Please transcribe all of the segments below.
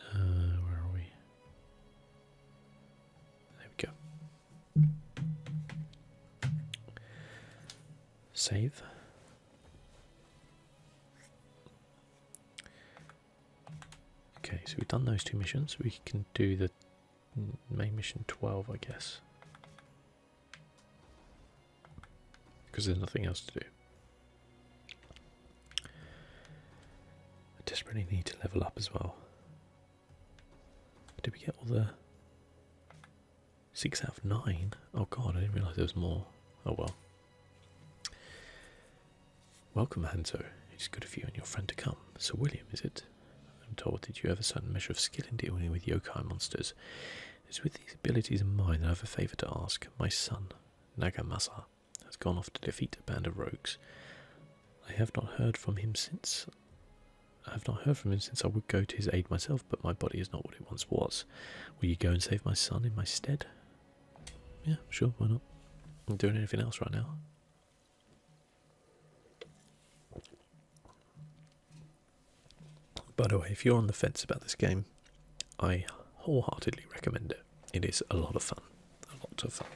Uh, where are we? There we go. Save. Okay, so we've done those two missions. We can do the main mission 12, I guess. Because there's nothing else to do. I desperately need to level up as well. Did we get all the. Six out of nine? Oh god, I didn't realise there was more. Oh well. Welcome, Hanzo. It is good of you and your friend to come. Sir William, is it? I'm told that you have a certain measure of skill in dealing with yokai monsters. It is with these abilities in mind that I have a favour to ask. My son, Nagamasa has gone off to defeat a band of rogues. I have not heard from him since. I have not heard from him since I would go to his aid myself, but my body is not what it once was. Will you go and save my son in my stead? Yeah, sure, why not? I'm doing anything else right now. By the way, if you're on the fence about this game, I wholeheartedly recommend it. It is a lot of fun. A lot of fun.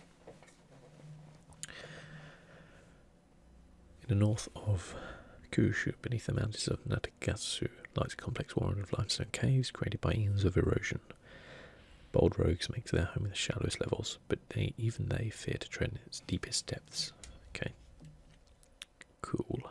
In the north of Kyushu, beneath the mountains of Natagasu, lies a complex warren of limestone caves created by years of erosion. Bold rogues make their home in the shallowest levels, but they even they fear to tread its deepest depths. Okay. Cool.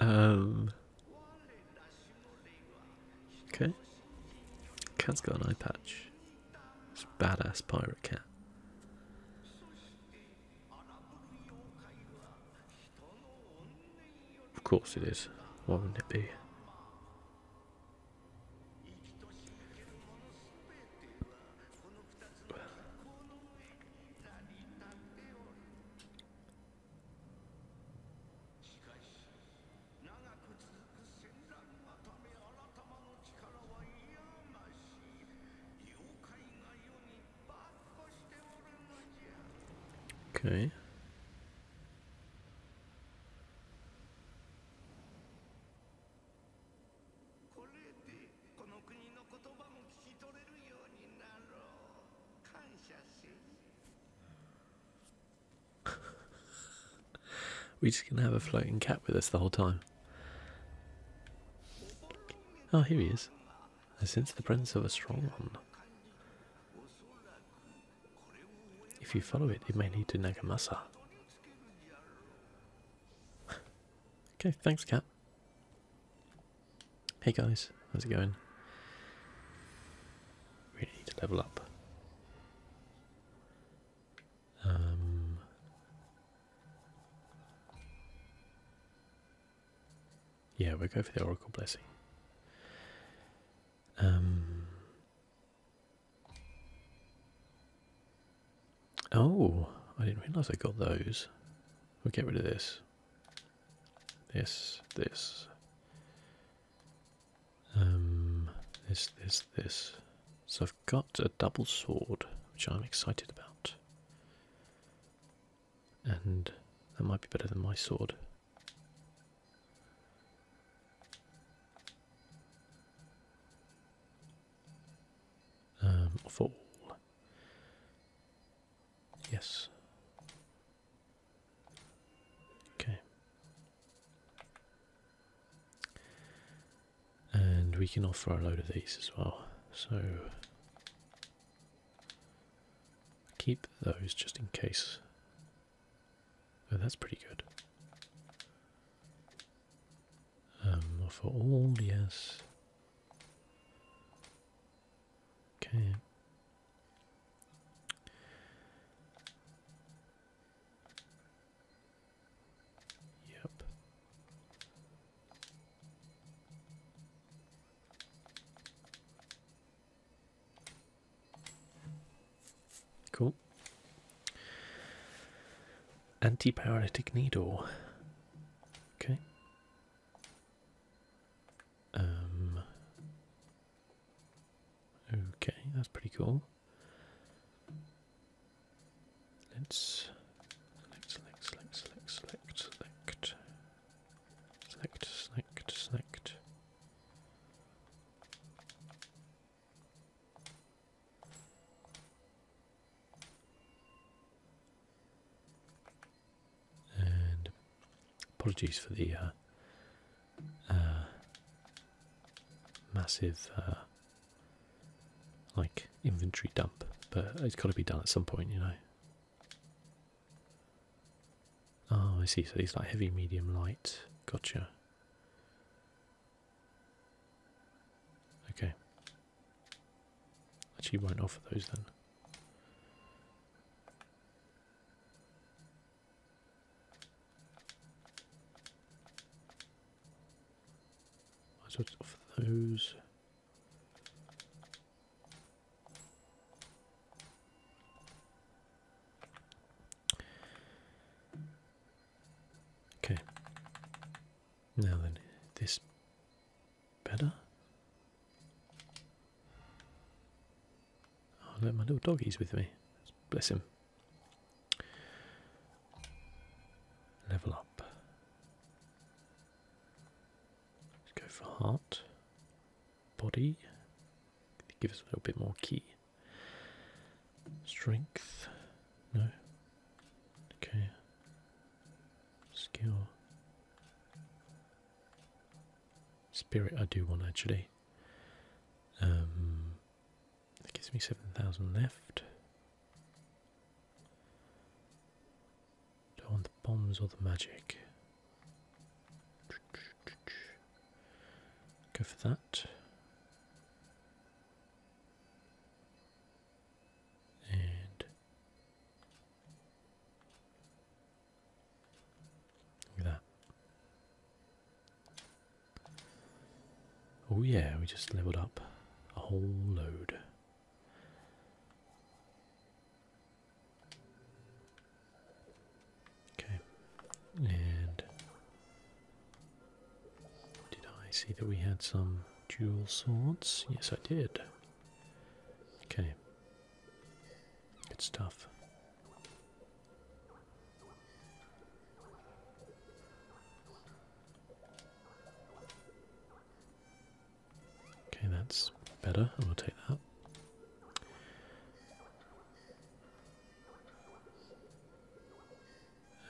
um. Okay. Cat's got an eye patch. It's a badass pirate cat. Of course it is. Why would it be? Okay. we just gonna have a floating cat with us the whole time. Oh, here he is. I sense the presence of a strong one. If you follow it, you may lead to Nagamasa. okay, thanks, Cap. Hey guys, how's it going? Really need to level up. Um, yeah, we'll go for the Oracle Blessing. Um. Oh, I didn't realise I got those. We'll get rid of this. This, this. Um, this, this, this. So I've got a double sword, which I'm excited about and that might be better than my sword. Um, fall. Yes. Okay. And we can offer a load of these as well. So Keep those just in case. Oh, that's pretty good. Um, for all, yes. Okay. Yep. Cool. Antipyretic needle. Okay. Um. Okay, that's pretty cool. Let's select, select, select, select, select, select. Select, select, select. And apologies for the uh, uh, massive uh, like inventory dump, but it's got to be done at some point, you know. Oh, I see. So these like heavy, medium, light. Gotcha. Okay. Actually, won't offer those then. Might as well offer those. Okay. Now then, this better? Oh, look, my little doggy's with me. Bless him. Level up. Let's go for heart body. Give us a little bit more key. Strength. No. Okay. Skill. Spirit, I do want actually. Um, that gives me 7,000 left. Don't want the bombs or the magic. Go for that. And look at that. Oh yeah, we just leveled up a whole load. Okay, and did I see that we had some dual swords? Yes, I did. Okay, good stuff. Okay, that's better. I will take that.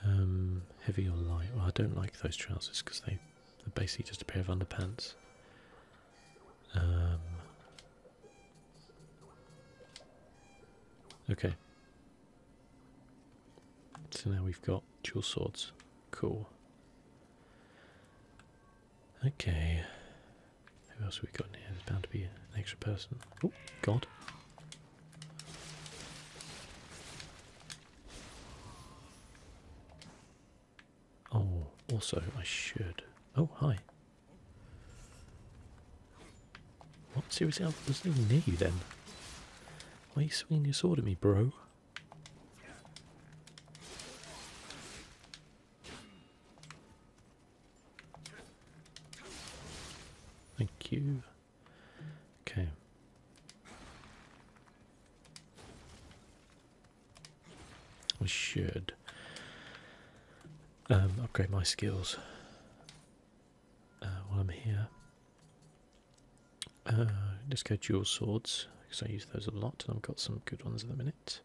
Um, heavy or light? Well, I don't like those trousers because they, are basically just a pair of underpants. Um, okay. So now we've got dual swords. Cool. Okay. Who else have we got in here? There's bound to be an extra person. Oh, God. Oh, also, I should. Oh, hi. What? Seriously, I was even near you then. Why are you swinging your sword at me, bro? Thank you. Okay. I should um, upgrade my skills uh, while I'm here. Uh, let's go dual swords because I use those a lot and I've got some good ones at the minute.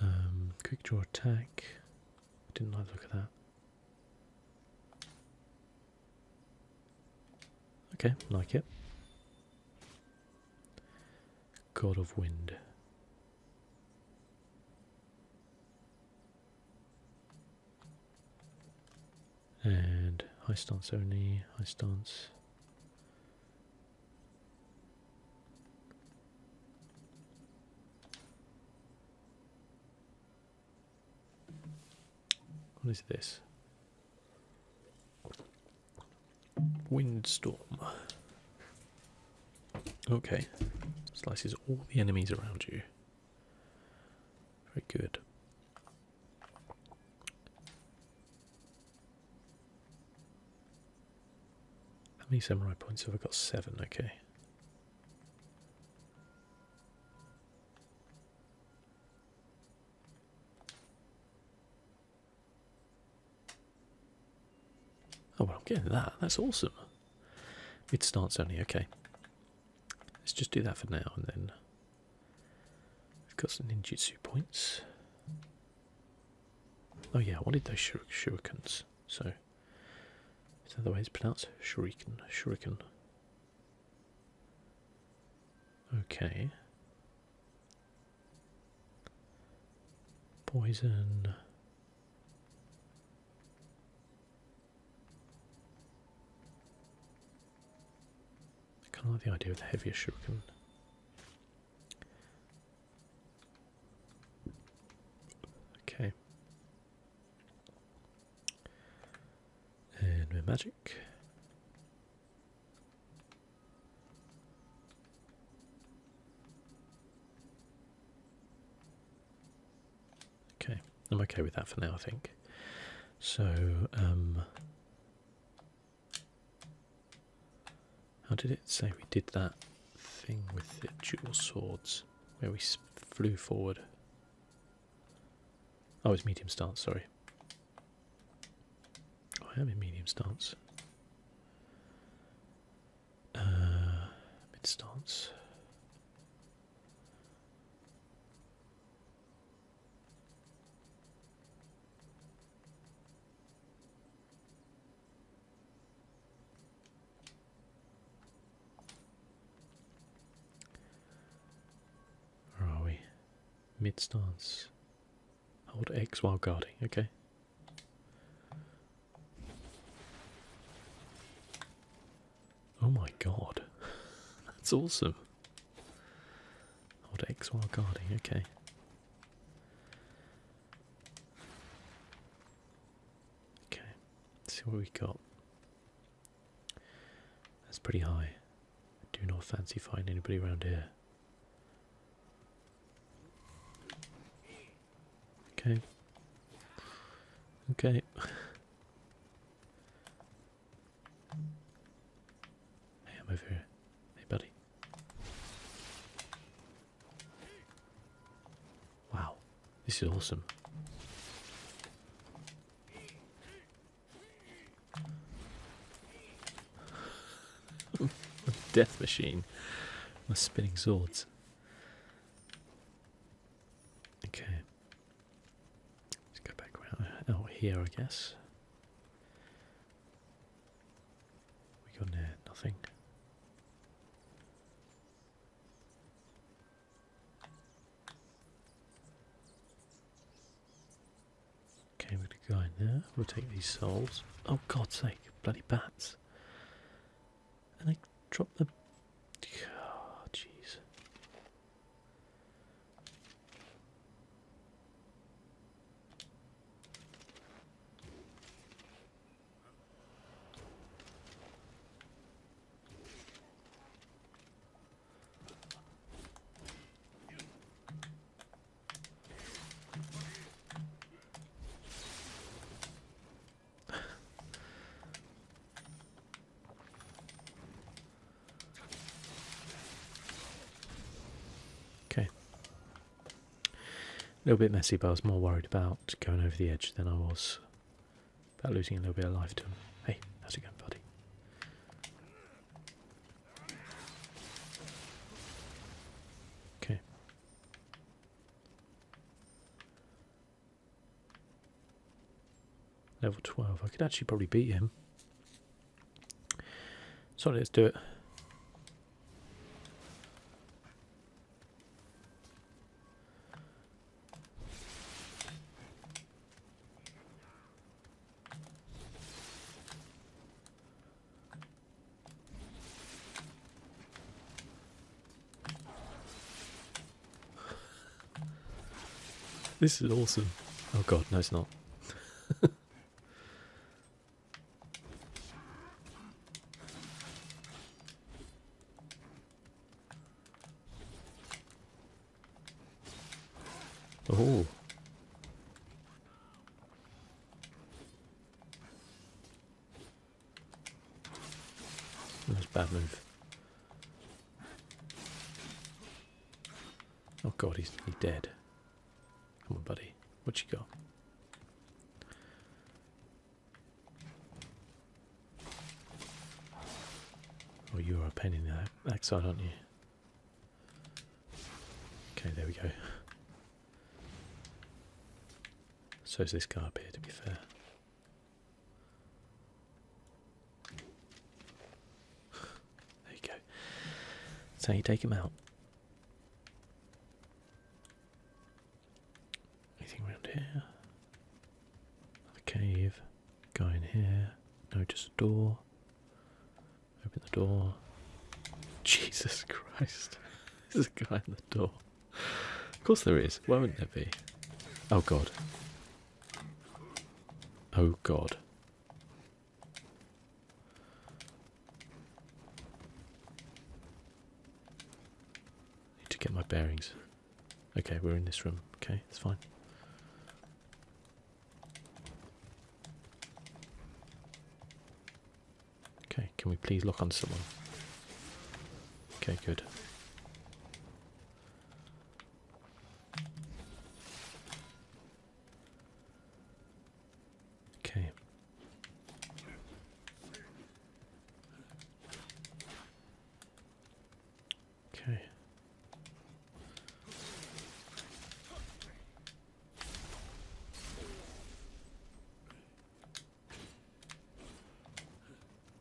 Um, quick draw attack. didn't like look at that. Okay, like it. God of Wind and high stance only, high stance. What is this? Windstorm. Okay, slices all the enemies around you. Very good. How many samurai points have I got? Seven, okay. Oh, well, I'm getting that. That's awesome. It starts only. Okay. Let's just do that for now and then. We've got some ninjutsu points. Oh, yeah, I wanted those shur shurikens. So, is that the way it's pronounced? Shuriken. Shuriken. Okay. Poison kind of like the idea of the heavier shuriken. Okay. And we're magic. Okay, I'm okay with that for now, I think. So, um, how did it say we did that thing with the dual swords where we flew forward? Oh, it's medium stance, sorry. Oh, I am in medium stance. Uh, mid stance. Where are we? Mid stance. Hold X while guarding. Okay. Oh my god, that's awesome. Odd X while guarding, okay. Okay, see what we got. That's pretty high. do not fancy finding anybody around here. Okay. Okay. Hey, I'm over here. Hey, buddy. Wow, this is awesome. Death machine, my spinning swords. Okay. Let's go back around out oh, here, I guess. We got there, nothing. Okay, we're gonna go in there. We'll take these souls. Oh God's sake, bloody bats and I dropped the. Oh, jeez okay. A little bit messy, but I was more worried about going over the edge than I was about losing a little bit of life Hey, how's it going, buddy? Okay. Level 12. I could actually probably beat him. Sorry, let's do it. this is awesome. Oh god, no it's not. oh. That was a bad move. Oh god, he's he dead. Come on, buddy. What you got? Oh, you're a pain in the backside, aren't you? Okay, there we go. So is this guy up here, to be fair. There you go. That's how you take him out. Anything around here? Another cave. Guy in here. No, just a door. Open the door. Jesus Christ. There's a guy in the door of course there is. Why wouldn't there be? Oh god. Oh god. I need to get my bearings. Okay, we're in this room. Okay, it's fine. Okay, can we please lock on someone? Okay, good. Okay. Okay.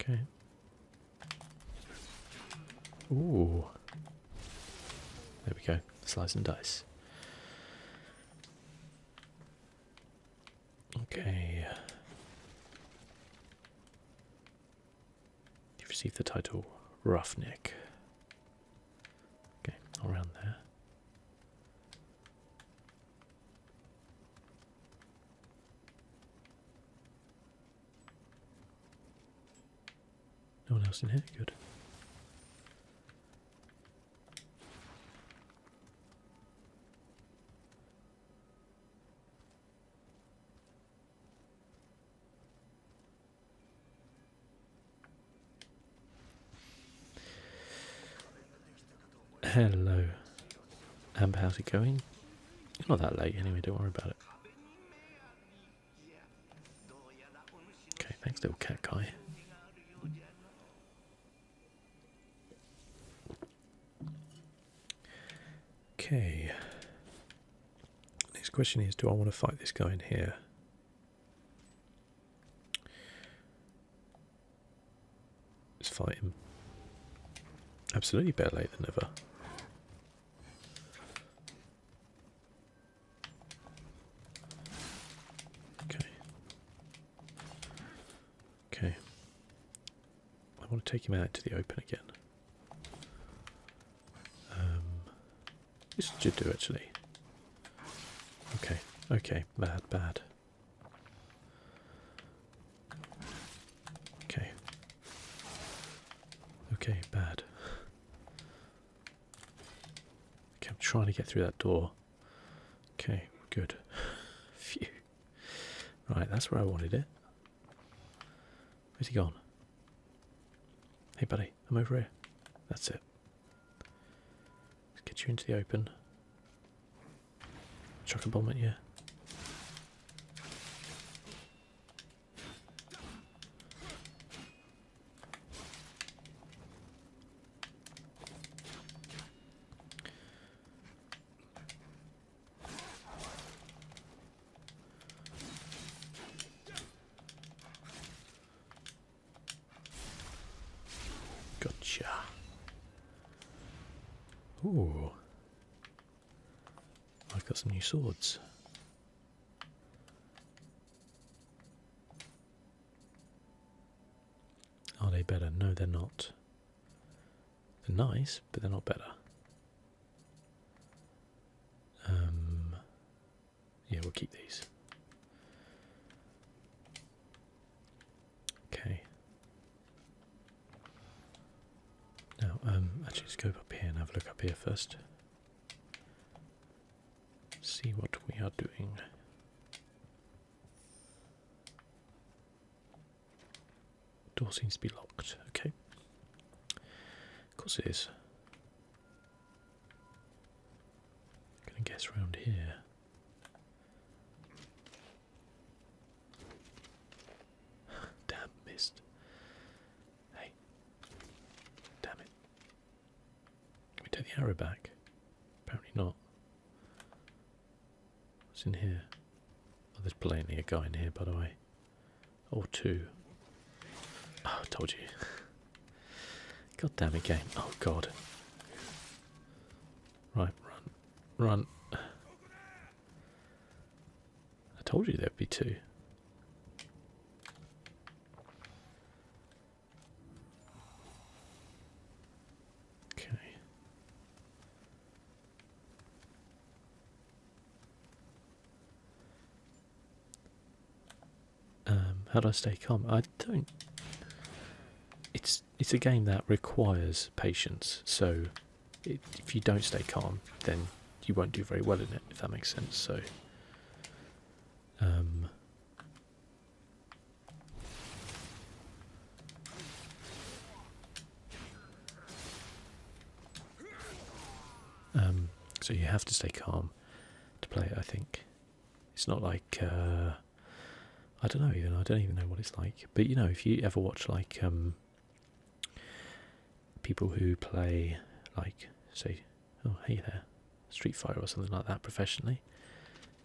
Okay. Ooh. There we go. Slice and dice. Okay. You've received the title Roughneck. Okay, around there. No one else in here? Good. Hello. Amber, how's it going? you not that late anyway, don't worry about it. Okay, thanks little cat guy. Okay. Next question is do I want to fight this guy in here? Let's fight him. Absolutely better late than never. Okay. Okay. I want to take him out to the open again. Um, this should do actually. Okay, okay, bad, bad. Okay. Okay, bad. Okay, I'm trying to get through that door. Okay, good. Phew. Right, that's where I wanted it. Where's he gone? Hey, buddy, I'm over here. That's it. Let's get you into the open. Chuck a bomb at you. Gotcha. Ooh. I've got some new swords. Are they better? No, they're not. They're nice, but they're not better. Um, yeah, we'll keep these. Okay. Now, um, actually, let's go up here and have a look up here first. See what we are doing. Door seems to be locked. Okay. Of course its I'm gonna guess round here. Damn, missed. Hey. Damn it. Can we take the arrow back? Apparently not. What's in here? Oh, there's plainly a guy in here, by the way. Or oh, two. Oh, I told you. God damn it, game. Oh, God. Right, run. Run. I told you there'd be two. Okay. Um, how do I stay calm? I don't. It's it's a game that requires patience, so if you don't stay calm, then you won't do very well in it, if that makes sense. So, um, um, so you have to stay calm to play I think it's not like uh, I don't know even I don't even know what it's like. But you know, if you ever watch like um, people who play like say oh hey there street fighter or something like that professionally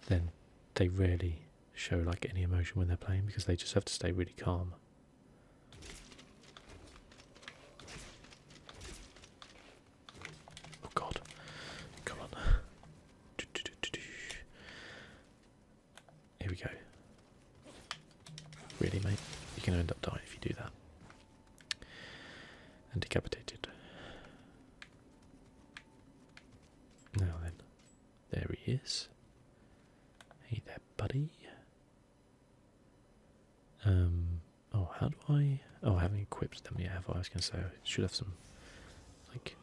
then they rarely show like any emotion when they're playing because they just have to stay really calm oh god come on Here we go. Really, mate? You're going to end up dying if you do that. And decapitated. Now then. There he is. Hey there, buddy. Um. Oh, how do I? Oh, I haven't equipped them yet. Have I? I was going to say I should have some, like.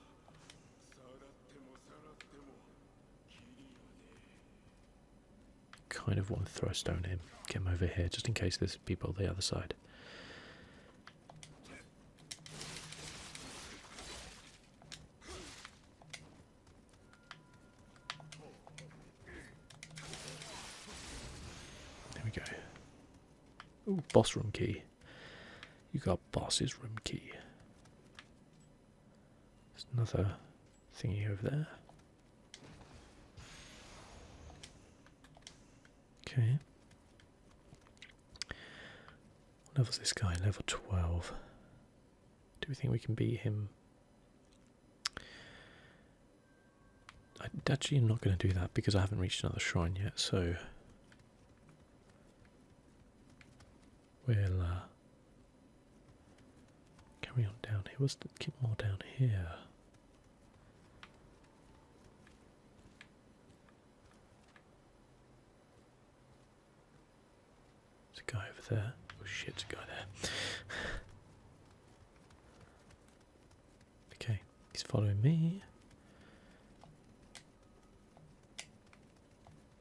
Kind of want to throw a stone at him, get him over here, just in case there's people on the other side. There we go. Oh, boss room key. You got boss's room key. There's another thingy over there. Okay. What level's this guy? Level 12. Do we think we can beat him? I actually am not going to do that because I haven't reached another shrine yet, so we'll uh, Carry on down here. What's the kid more down here. There's a guy over there. Oh shit, there's a guy there. okay, he's following me.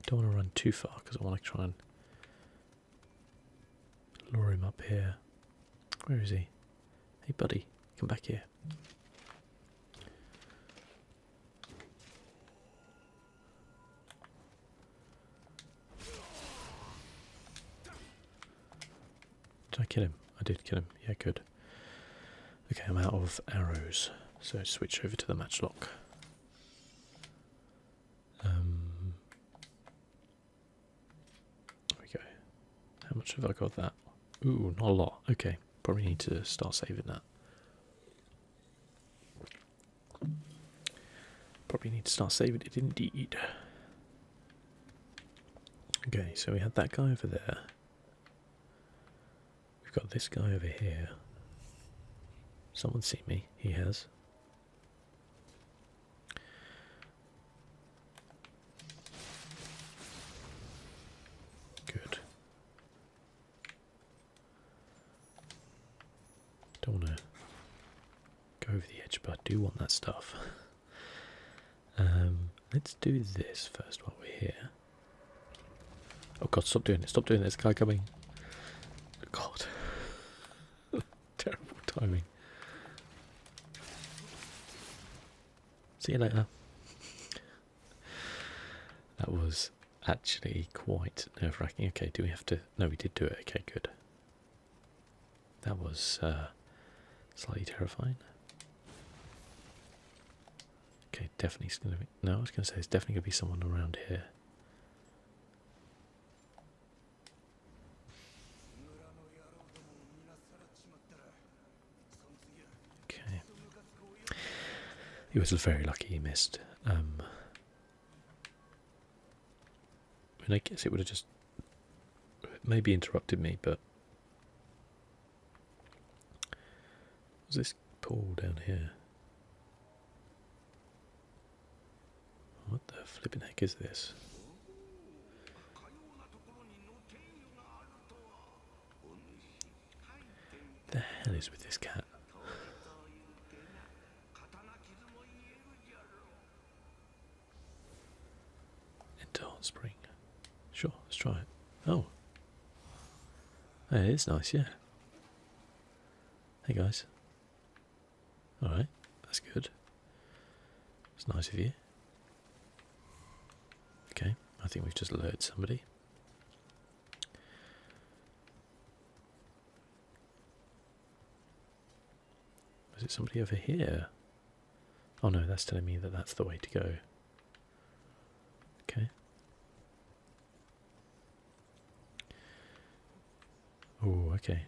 Don't want to run too far because I want to try and Lure him up here. Where is he? Hey, buddy, come back here. Did I kill him? I did kill him. Yeah, good. Okay, I'm out of arrows, so switch over to the matchlock. Um, there we go. How much have I got that? Ooh, not a lot. Okay, probably need to start saving that. Probably need to start saving it indeed. Okay, so we had that guy over there. We've got this guy over here. Someone see me? He has. Good. Don't want to go over the edge, but I do want that stuff. um, let's do this first while we're here. Oh god, stop doing it, stop doing it, there's guy coming. God. Terrible timing. See you later. that was actually quite nerve wracking. Okay, do we have to. No, we did do it. Okay, good. That was uh, slightly terrifying. Okay, definitely gonna be. No, I was gonna say it's definitely gonna be someone around here. Okay. He was very lucky he missed. And um, I I guess it would have just maybe interrupted me, but was this pool down here? What the flipping heck is this? The hell is with this cat? Enter hot spring. Sure, let's try it. Oh. It is nice, yeah. Hey guys. Alright, that's good. It's nice of you. Okay, I think we've just alerted somebody. Was it somebody over here? Oh no, that's telling me that that's the way to go. Okay. Oh, okay.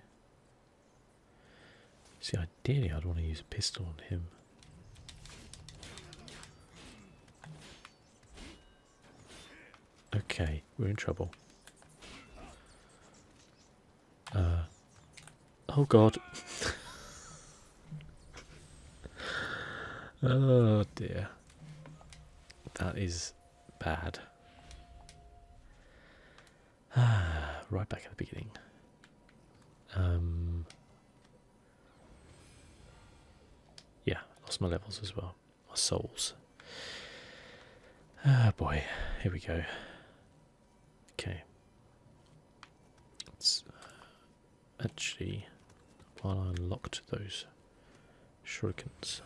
See, ideally, I'd want to use a pistol on him. Okay, we're in trouble. Uh, oh god. oh dear. That is bad. right back at the beginning. Um, yeah, lost my levels as well. My souls. Ah, boy. Here we go. Okay. It's uh, actually while I unlocked those shurikens.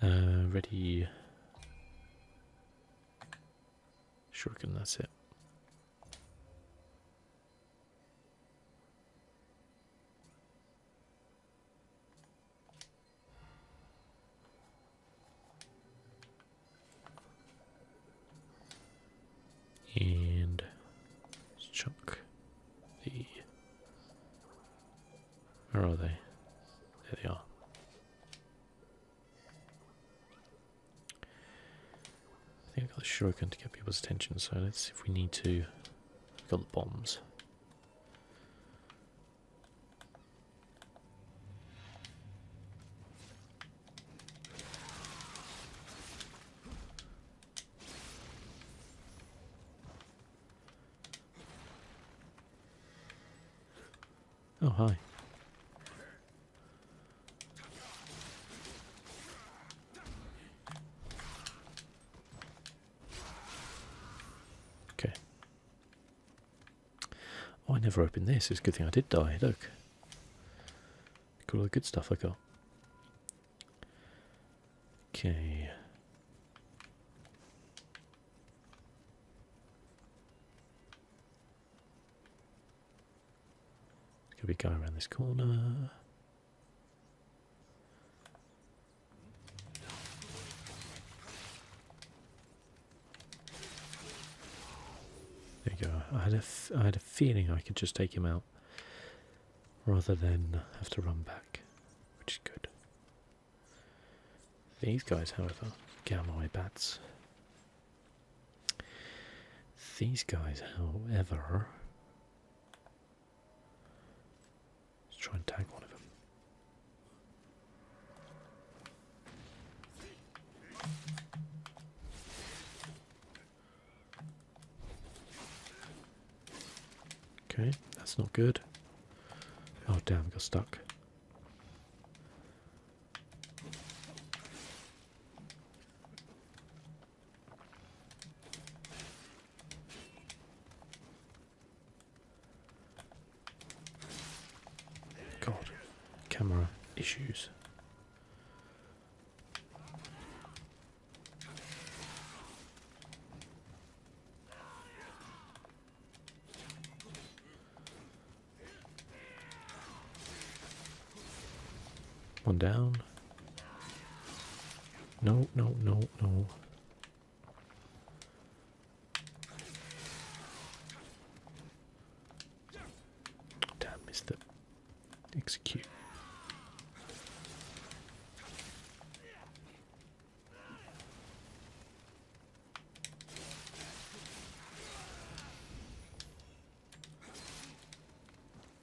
Uh, ready. Shuriken, that's it. And chuck the. Where are they? There they are. I think I've got the shotgun to get people's attention, so let's see if we need to. we got the bombs. Oh, hi. Okay. Oh, I never opened this. It's a good thing I did die. Look. all the good stuff I got. Okay. Could be going around this corner? There you go. I had a I had a feeling I could just take him out rather than have to run back, which is good. These guys, however, Gamoi bats. These guys, however, let's try and tag one of them. Okay, that's not good. Oh damn, got stuck. God, camera issues. One down. No, no, no, no. Damn, missed it. Execute.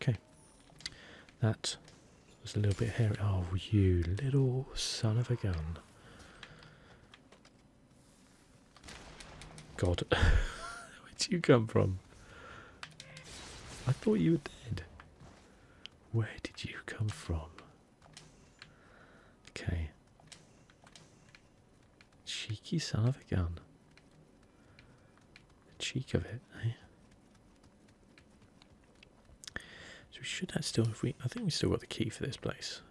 Okay, that was a little bit here. Oh, you little son of a gun! God, where'd you come from? I thought you were dead. Where did you come from? Okay. Cheeky son of a gun. The cheek of it, eh? So we should have still if we I think we still got the key for this place.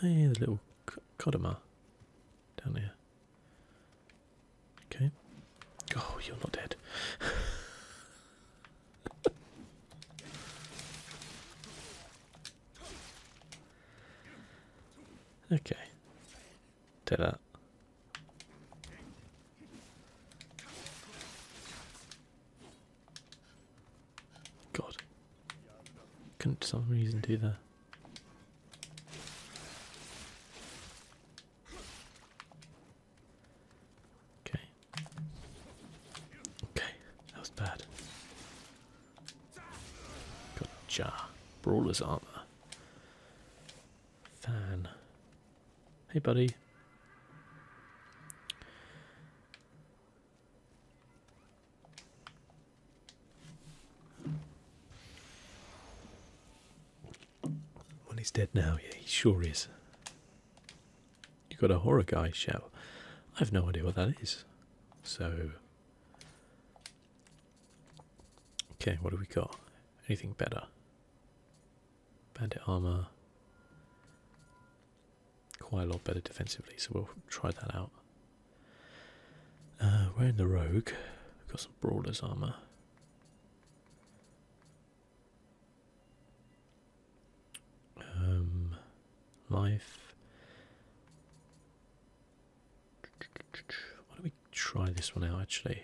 Hey, the little Kodama down here. Okay. Oh, you're not dead. okay. Did that. God. Couldn't some reason do that. Okay. Okay, that was bad. Gotcha. Brawler's armor. Fan. Hey, buddy. Well, he's dead now. Yeah, he sure is. You got a horror guy shell. I've no idea what that is. So. Okay, what do we got? Anything better? Bandit armor. Quite a lot better defensively, so we'll try that out. Uh, we're in the rogue. We've got some brawler's armor. Um, life. Why don't we try this one out actually?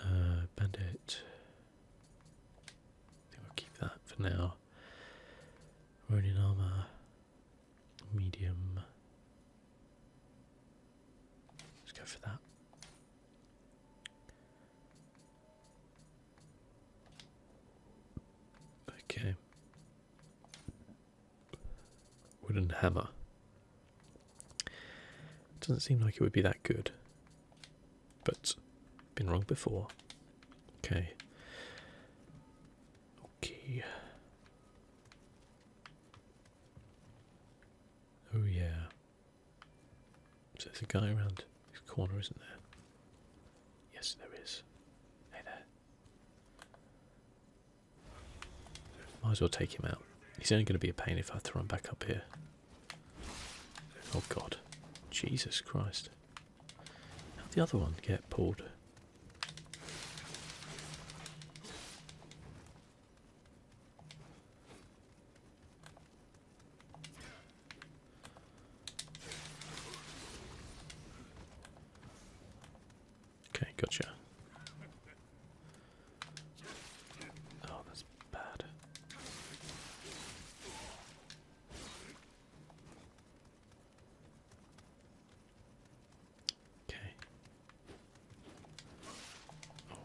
Uh, bandit. I think we'll keep that for now. Ronin armor medium. Let's go for that. Okay. Wooden hammer. Doesn't seem like it would be that good. But been wrong before. Okay. Okay. Oh yeah. So there's a guy around this corner, isn't there? Yes, there is. Hey there. Might as well take him out. He's only going to be a pain if I throw him back up here. Oh god. Jesus Christ. How'd the other one get pulled? Okay, gotcha. Oh, that's bad. Okay.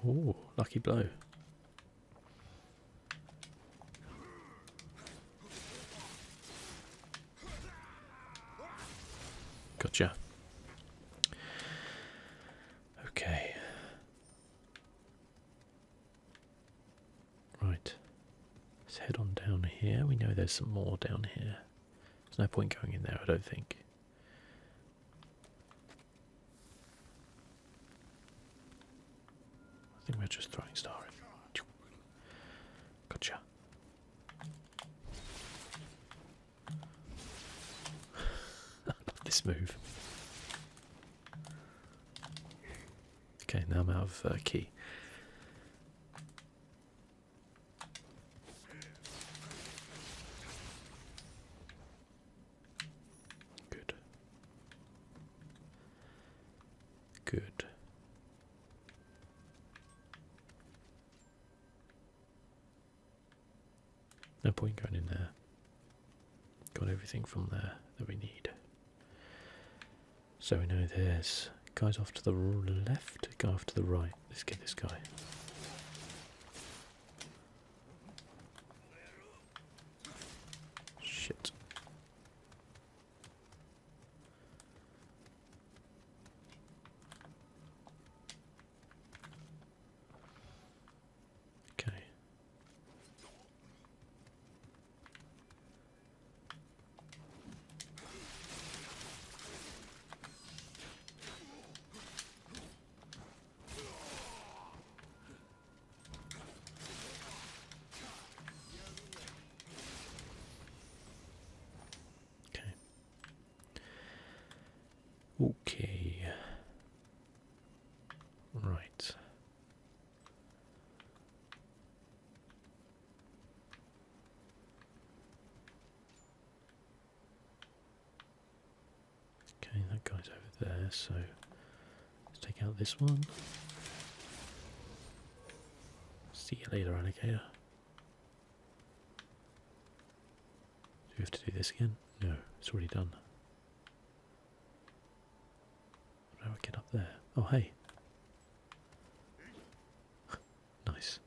Oh, lucky blow. Gotcha. Okay. Right. Let's head on down here. We know there's some more down here. There's no point going in there, I don't think. I think we're just throwing stars. Gotcha. this move. Okay, now I'm out of uh, key. Good. Good. No point going in there. Got everything from there that we need. So we know this guys off to the left, Go off to the right. Let's get this guy. Shit. Okay. Okay. Okay. Right. Okay, that guy's over there, so let's take out this one. See you later, alligator. Do we have to do this again? No, it's already done. How do I get up there? Oh, hey. nice.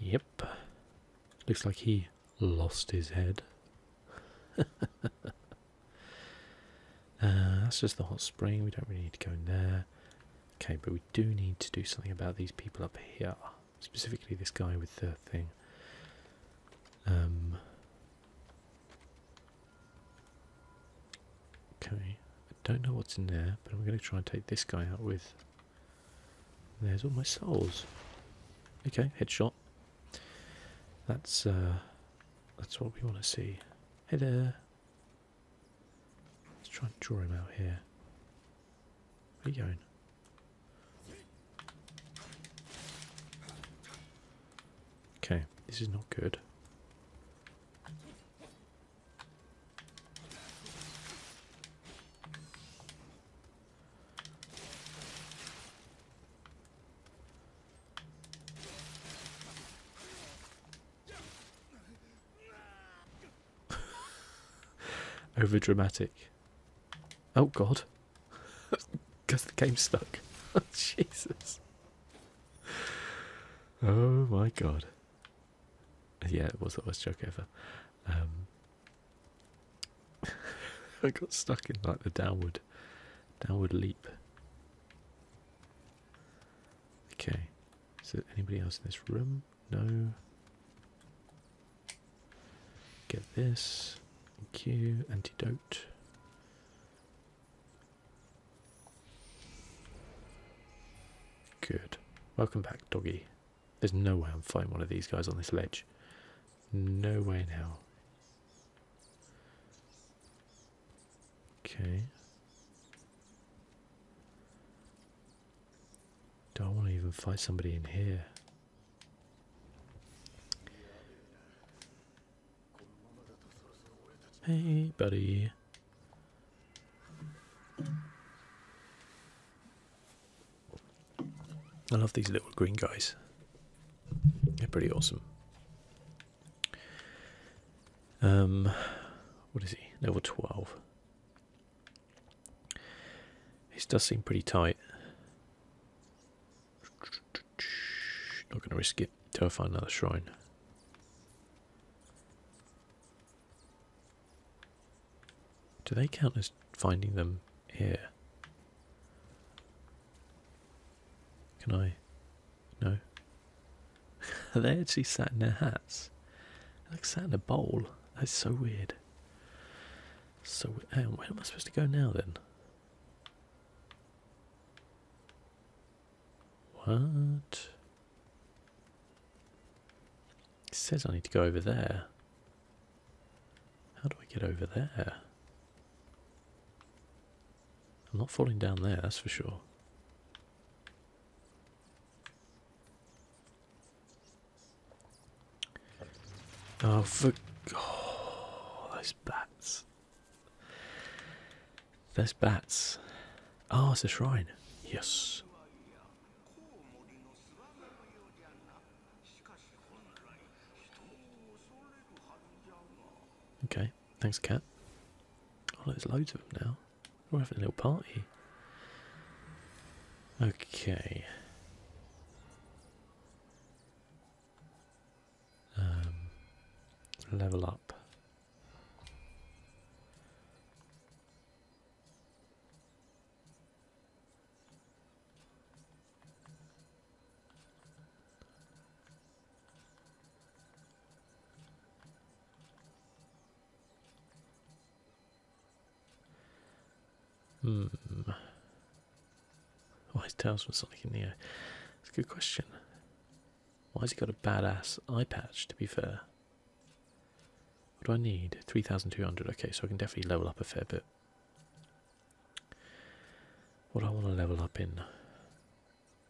Yep. Looks like he lost his head. Uh, that's just the hot spring. We don't really need to go in there. Okay, but we do need to do something about these people up here. Specifically this guy with the thing. Um, Okay, I don't know what's in there, but I'm going to try and take this guy out with... There's all my souls. Okay, headshot. That's, uh, that's what we want to see. Head there. Let's try and draw him out here. Where are you going? Okay, this is not good. Over dramatic. Oh god. because the game's stuck. Oh, Jesus. Oh my god. Yeah, it was the worst joke ever. Um, I got stuck in like the downward, downward leap. Okay, is there anybody else in this room? No. Get this. Thank Antidote. Good. Welcome back, doggy. There's no way I'm fighting one of these guys on this ledge. No way in hell. Okay. Do I want to even fight somebody in here? Hey, buddy. I love these little green guys. They're pretty awesome. Um, what is he? Level 12. This does seem pretty tight. Not going to risk it till find another shrine. Do they count as finding them here? Can I? No. they actually sat in their hats? they like sat in a bowl. That's so weird. So, where am I supposed to go now then? What? says I need to go over there. How do I get over there? I'm not falling down there, that's for sure. Oh, fuck! those bats. There's bats. Ah, oh, it's a shrine. Yes. Okay, thanks, cat. Oh, there's loads of them now. We're having a little party. Okay. Um, level up. Hmm. Why is Tails from Sonic in the air? It's a good question. Why has he got a badass eye patch, to be fair? What do I need? 3,200. Okay, so I can definitely level up a fair bit. What do I want to level up in?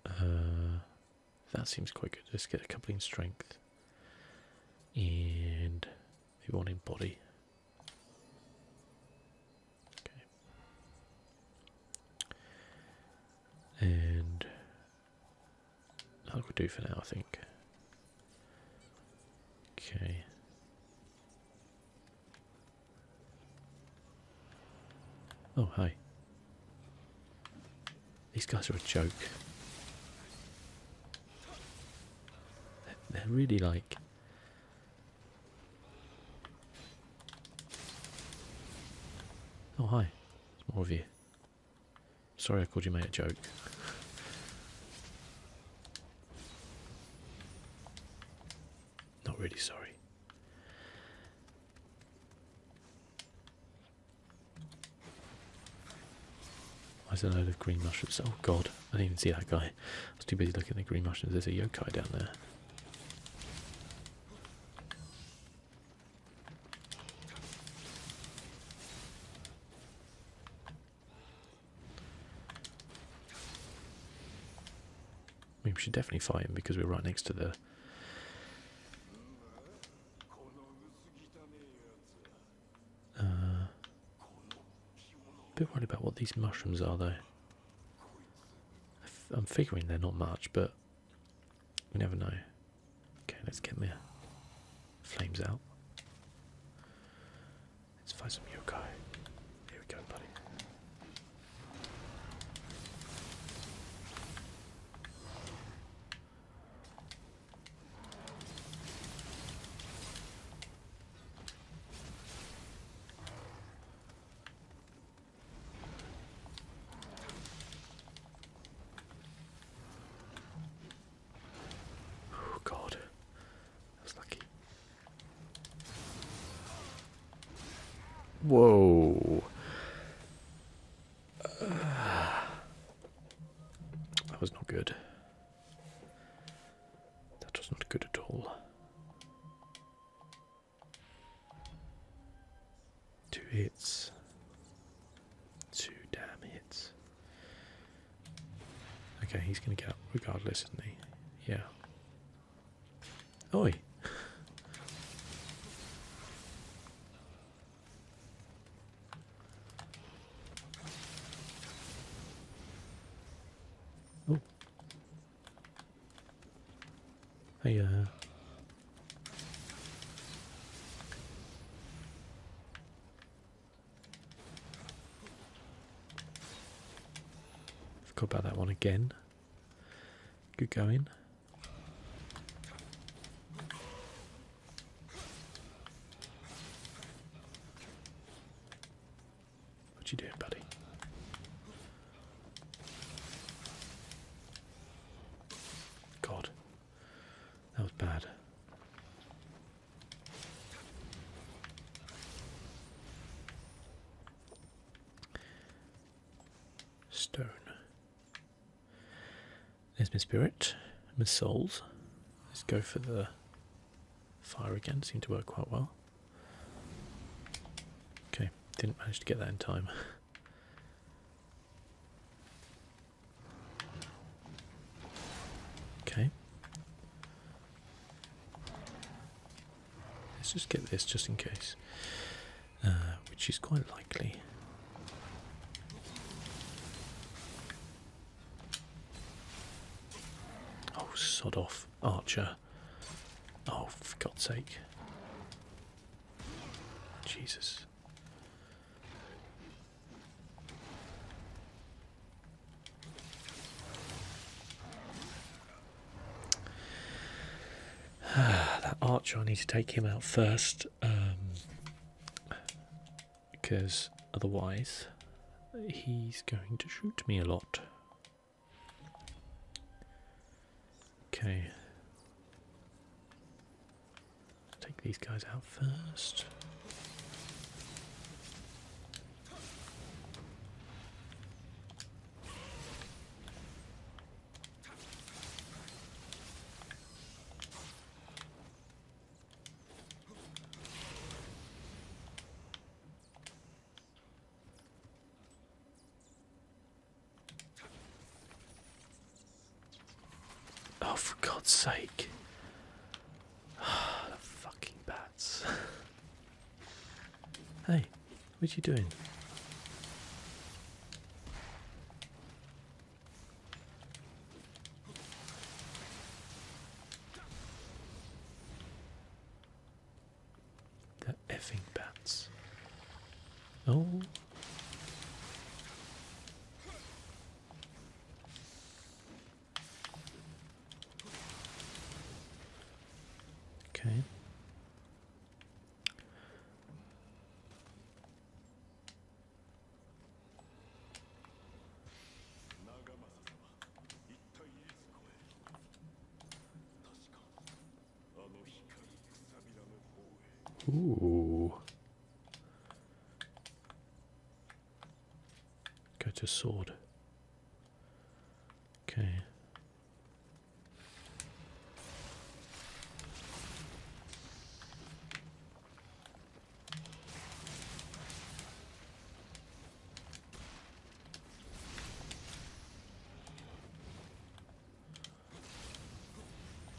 Uh, that seems quite good. Let's get a couple in strength. And maybe one in body. Okay. And that will do for now, I think. Okay. Oh, hey, These guys are a joke. they're really like Oh, hi. There's more of you. Sorry I called you mate a joke. Not really sorry. There's a load of green mushrooms? Oh god, I didn't even see that guy. I was too busy looking at the green mushrooms. There's a yokai down there we should definitely fight him because we're right next to the uh, bit worried about what these mushrooms are though I'm figuring they're not much, but we never know. Okay, let's get the flames out. Let's find some yokai. Here we go, buddy. Oh god, that was lucky. Whoa. Ah. that was not good. That was not good at all. Two hits. Two damn hits. Okay, he's going to get up regardless, isn't he? Yeah. Oi! Hey, uh. Forgot about that one again. Good going. What you doing, buddy? God, that was bad. Stone. There's my spirit, my souls. Let's go for the fire again, Seem to work quite well. Okay, didn't manage to get that in time. Okay. Let's just get this just in case, uh, which is quite likely. Oh, sod off, Archer. Oh, for God's sake. Jesus. that archer, I need to take him out first, because um, otherwise he's going to shoot me a lot. Okay. take these guys out first. Oh, for God's sake. Ah, fucking bats. hey, what are you doing? The effing bats. Oh. Okay. Ooh. Go to sword. Okay.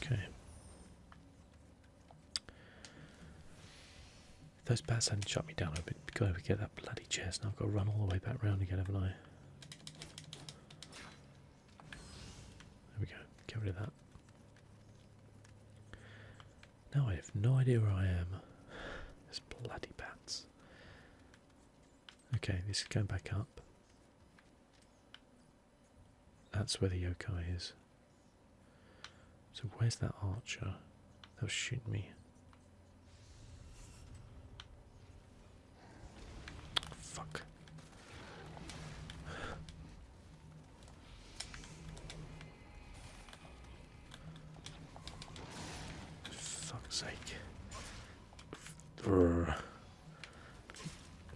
Okay. those bats hadn't shot me down, I'd go to get that bloody chest. Now I've got to run all the way back round again, haven't I? There we go. Get rid of that. Now I have no idea where I am. Those bloody bats. Okay, this is going back up. That's where the yokai is. So where's that archer? They'll shoot me. Fuck. fuck's sake. Brr.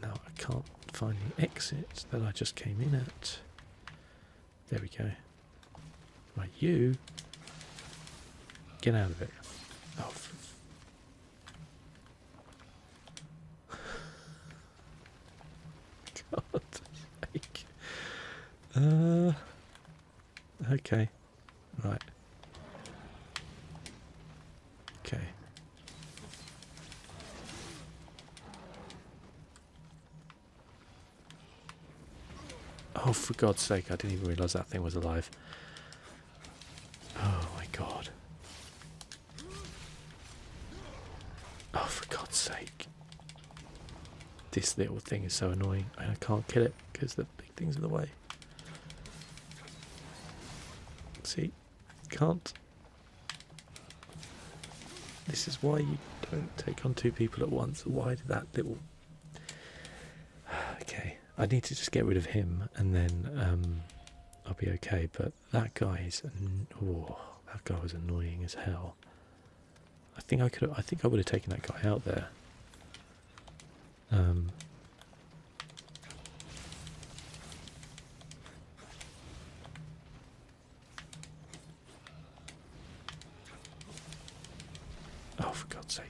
Now I can't find the exit that I just came in at. There we go. Right, you. Get out of it. Oh. God's uh, okay. Right. Okay. Oh, for God's sake, I didn't even realise that thing was alive. Oh my God. Oh, for God's sake. This little thing is so annoying. I can't kill it because the big thing's in the way. See, can't. This is why you don't take on two people at once. Why did that little. Okay, I need to just get rid of him and then um, I'll be okay. But that guy is. Oh, that guy was annoying as hell. I think I could. I think I would have taken that guy out there. Um, oh, for God's sake.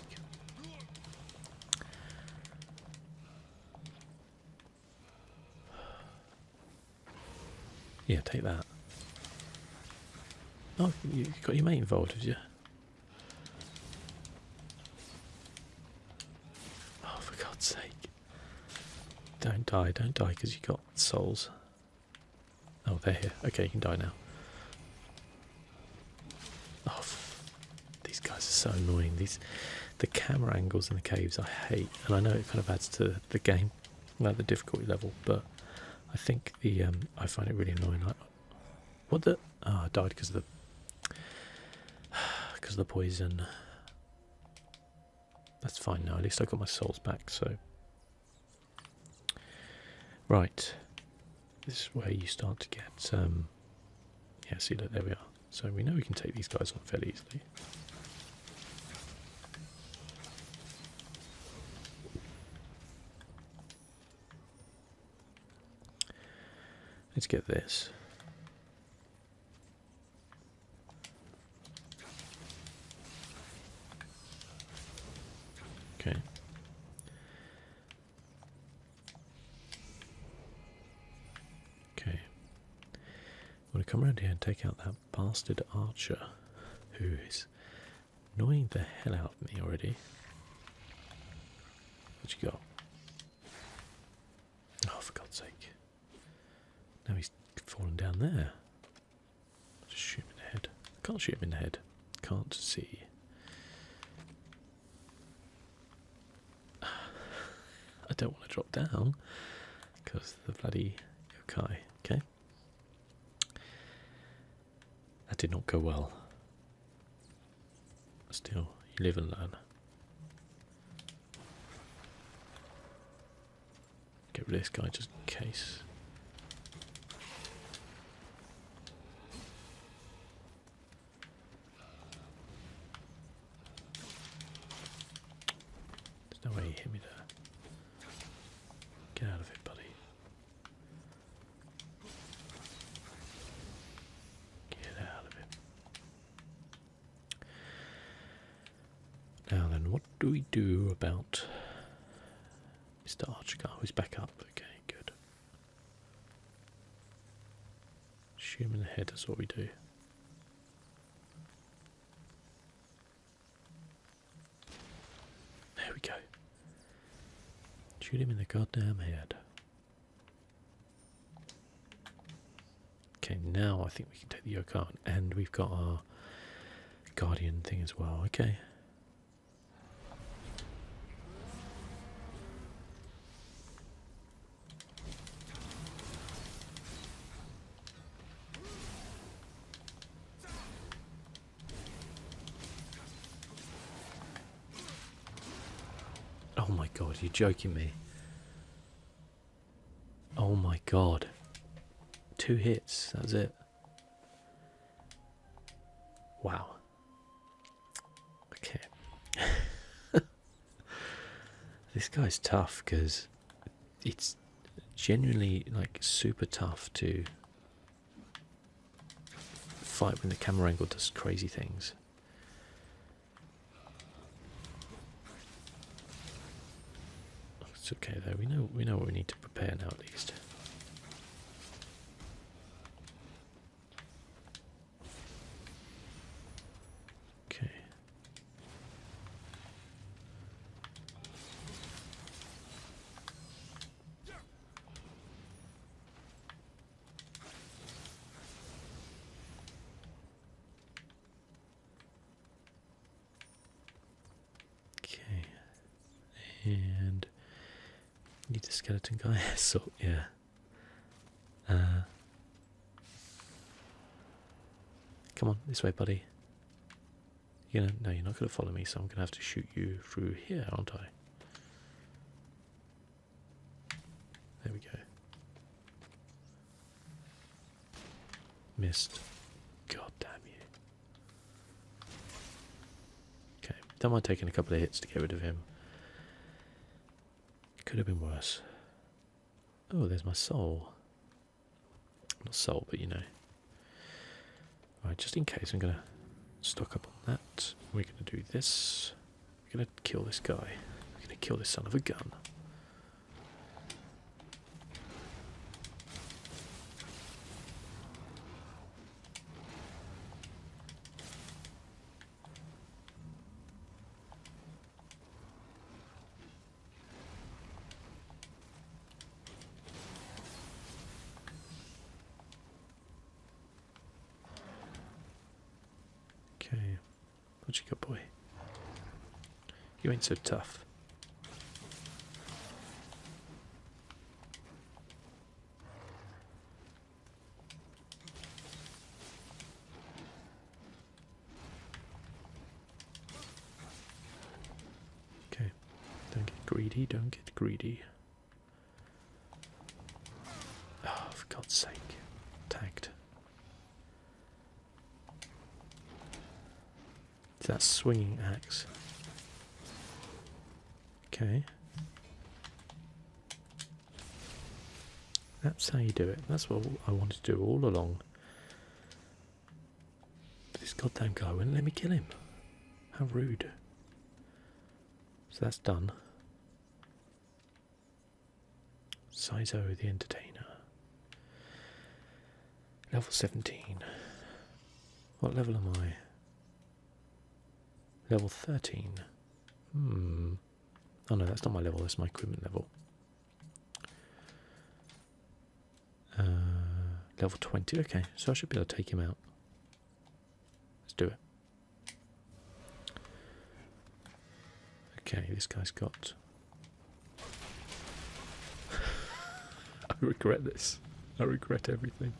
Yeah, take that. Oh, you got your mate involved, have you? Oh, for God's sake. Don't die, don't die, because you got souls. Oh, they're here. Okay, you can die now. Oh, these guys are so annoying. These, the camera angles in the caves I hate, and I know it kind of adds to the game, like the difficulty level, but I think the um, I find it really annoying. Like, what the? Oh, died because of the because of the poison. That's fine now, at least I got my souls back, so. Right. This is where you start to get um, yeah, see look there we are. So we know we can take these guys on fairly easily. Let's get this. Okay. Okay. I'm gonna come around here and take out that bastard archer who is annoying the hell out of me already. What you got? Oh, for God's sake. Now he's fallen down there. i just shoot him in the head. Can't shoot him in the head. Can't see. I don't want to drop down because the bloody yokai. Okay. That did not go well. Still, you live and learn. Get rid of this guy just in case. There's no way you hit me there. Get out of it, buddy. Get out of it. Now then, what do we do about Mr. Archigar? He's back up? Okay, good. Shoot him in the head, that's what we do. There we go. Shoot him in the goddamn head. Okay, now I think we can take the yoke out, and we've got our guardian thing as well. Okay. Oh my god, you're joking me. Oh my god. Two hits, that's it. Wow. Okay. this guy's tough because it's genuinely like super tough to fight when the camera angle does crazy things. It's okay though. We know we know what we need to prepare now at least. Okay. Okay, and need the skeleton guy. so yeah. Uh, come on this way, buddy. You know, no, you're not going to follow me, so I'm going to have to shoot you through here, aren't I? There we go. Missed. God damn you. Okay, don't mind taking a couple of hits to get rid of him. Could have been worse. Oh, there's my soul. Not soul, but you know. Right, just in case, I'm going to stock up on that. We're going to do this. We're gonna kill this guy. We're gonna kill this son of a gun. Okay. What you got, boy? You ain't so tough. Okay, don't get greedy, don't get greedy. Oh, for God's sake. Tagged that swinging axe. Okay. That's how you do it. That's what I wanted to do all along. this goddamn guy wouldn't let me kill him. How rude. So that's done. Saizo the Entertainer. Level 17. What level am I? Level 13. Hmm. Oh no, that's not my level, that's my equipment level. Uh, level 20. Okay, so I should be able to take him out. Let's do it. Okay, this guy's got. I regret this. I regret everything.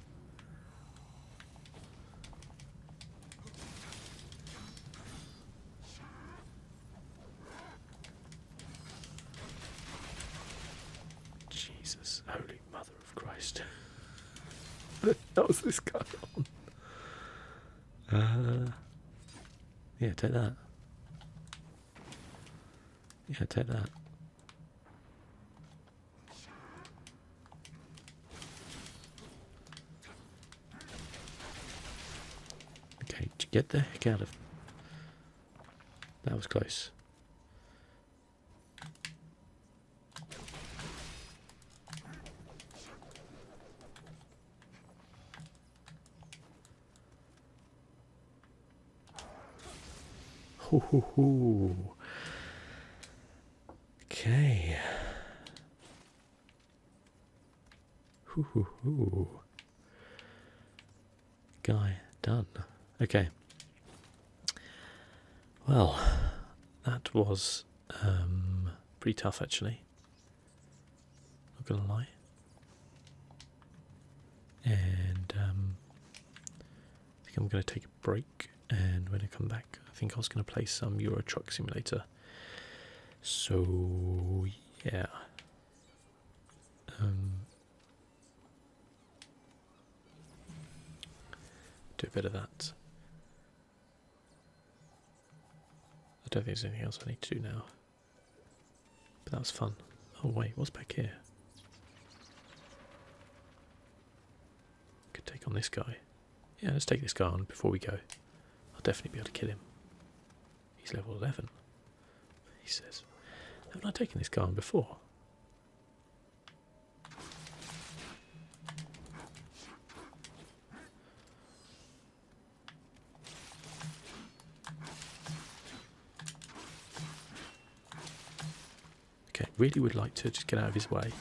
Jesus, Holy Mother of Christ. What How's this guy on? Uh, yeah, take that. Yeah, take that. Okay, get the heck out of. That was close. Ho ho ho. Okay. Hoo hoo hoo. Guy done. Okay. Well, that was um, pretty tough actually. Not gonna lie. And um, I think I'm gonna take a break. And when I come back, I think I was gonna play some Euro Truck Simulator. So yeah. Um, do a bit of that. I don't think there's anything else I need to do now. But that was fun. Oh wait, what's back here? Could take on this guy. Yeah, let's take this guy on before we go. I'll definitely be able to kill him. He's level 11. He says, haven't I taken this guy on before? Okay, really would like to just get out of his way.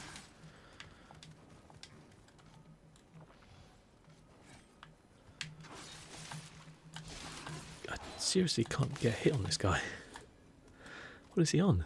I seriously can't get hit on this guy. What is he on?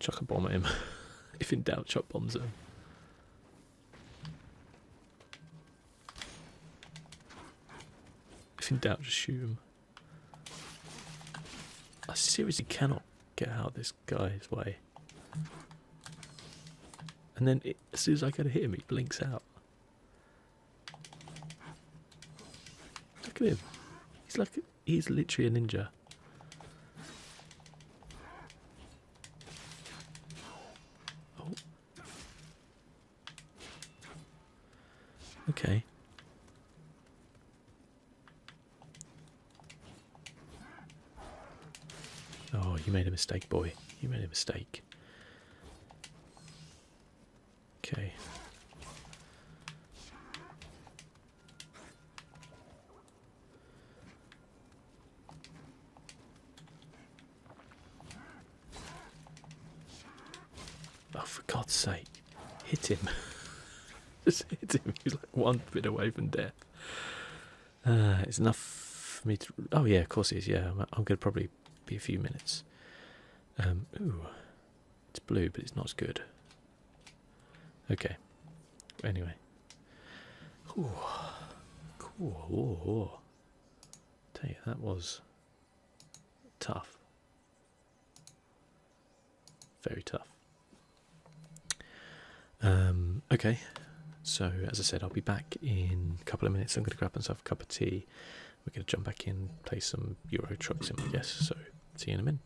Chuck a bomb at him. if in doubt, chuck bombs at him. If in doubt, shoot him. I seriously cannot get out of this guy's way. And then as soon as I go to hit him, he blinks out. Look at him. He's lucky he's literally a ninja. Oh. Okay. Oh, you made a mistake, boy. You made a mistake. Okay. Oh, for God's sake, hit him. Just hit him. He's like one bit away from death. Uh, it's enough for me to. Oh, yeah, of course it is. Yeah, I'm, I'm going to probably be a few minutes. Um, ooh, it's blue, but it's not as good. Okay. Anyway. Ooh. Cool. Ooh, ooh. Tell you that was tough. Very tough. Um, okay, so as I said, I'll be back in a couple of minutes. I'm going to grab myself a cup of tea. We're going to jump back in, play some Euro Truck Sim, I guess. So, see you in a minute.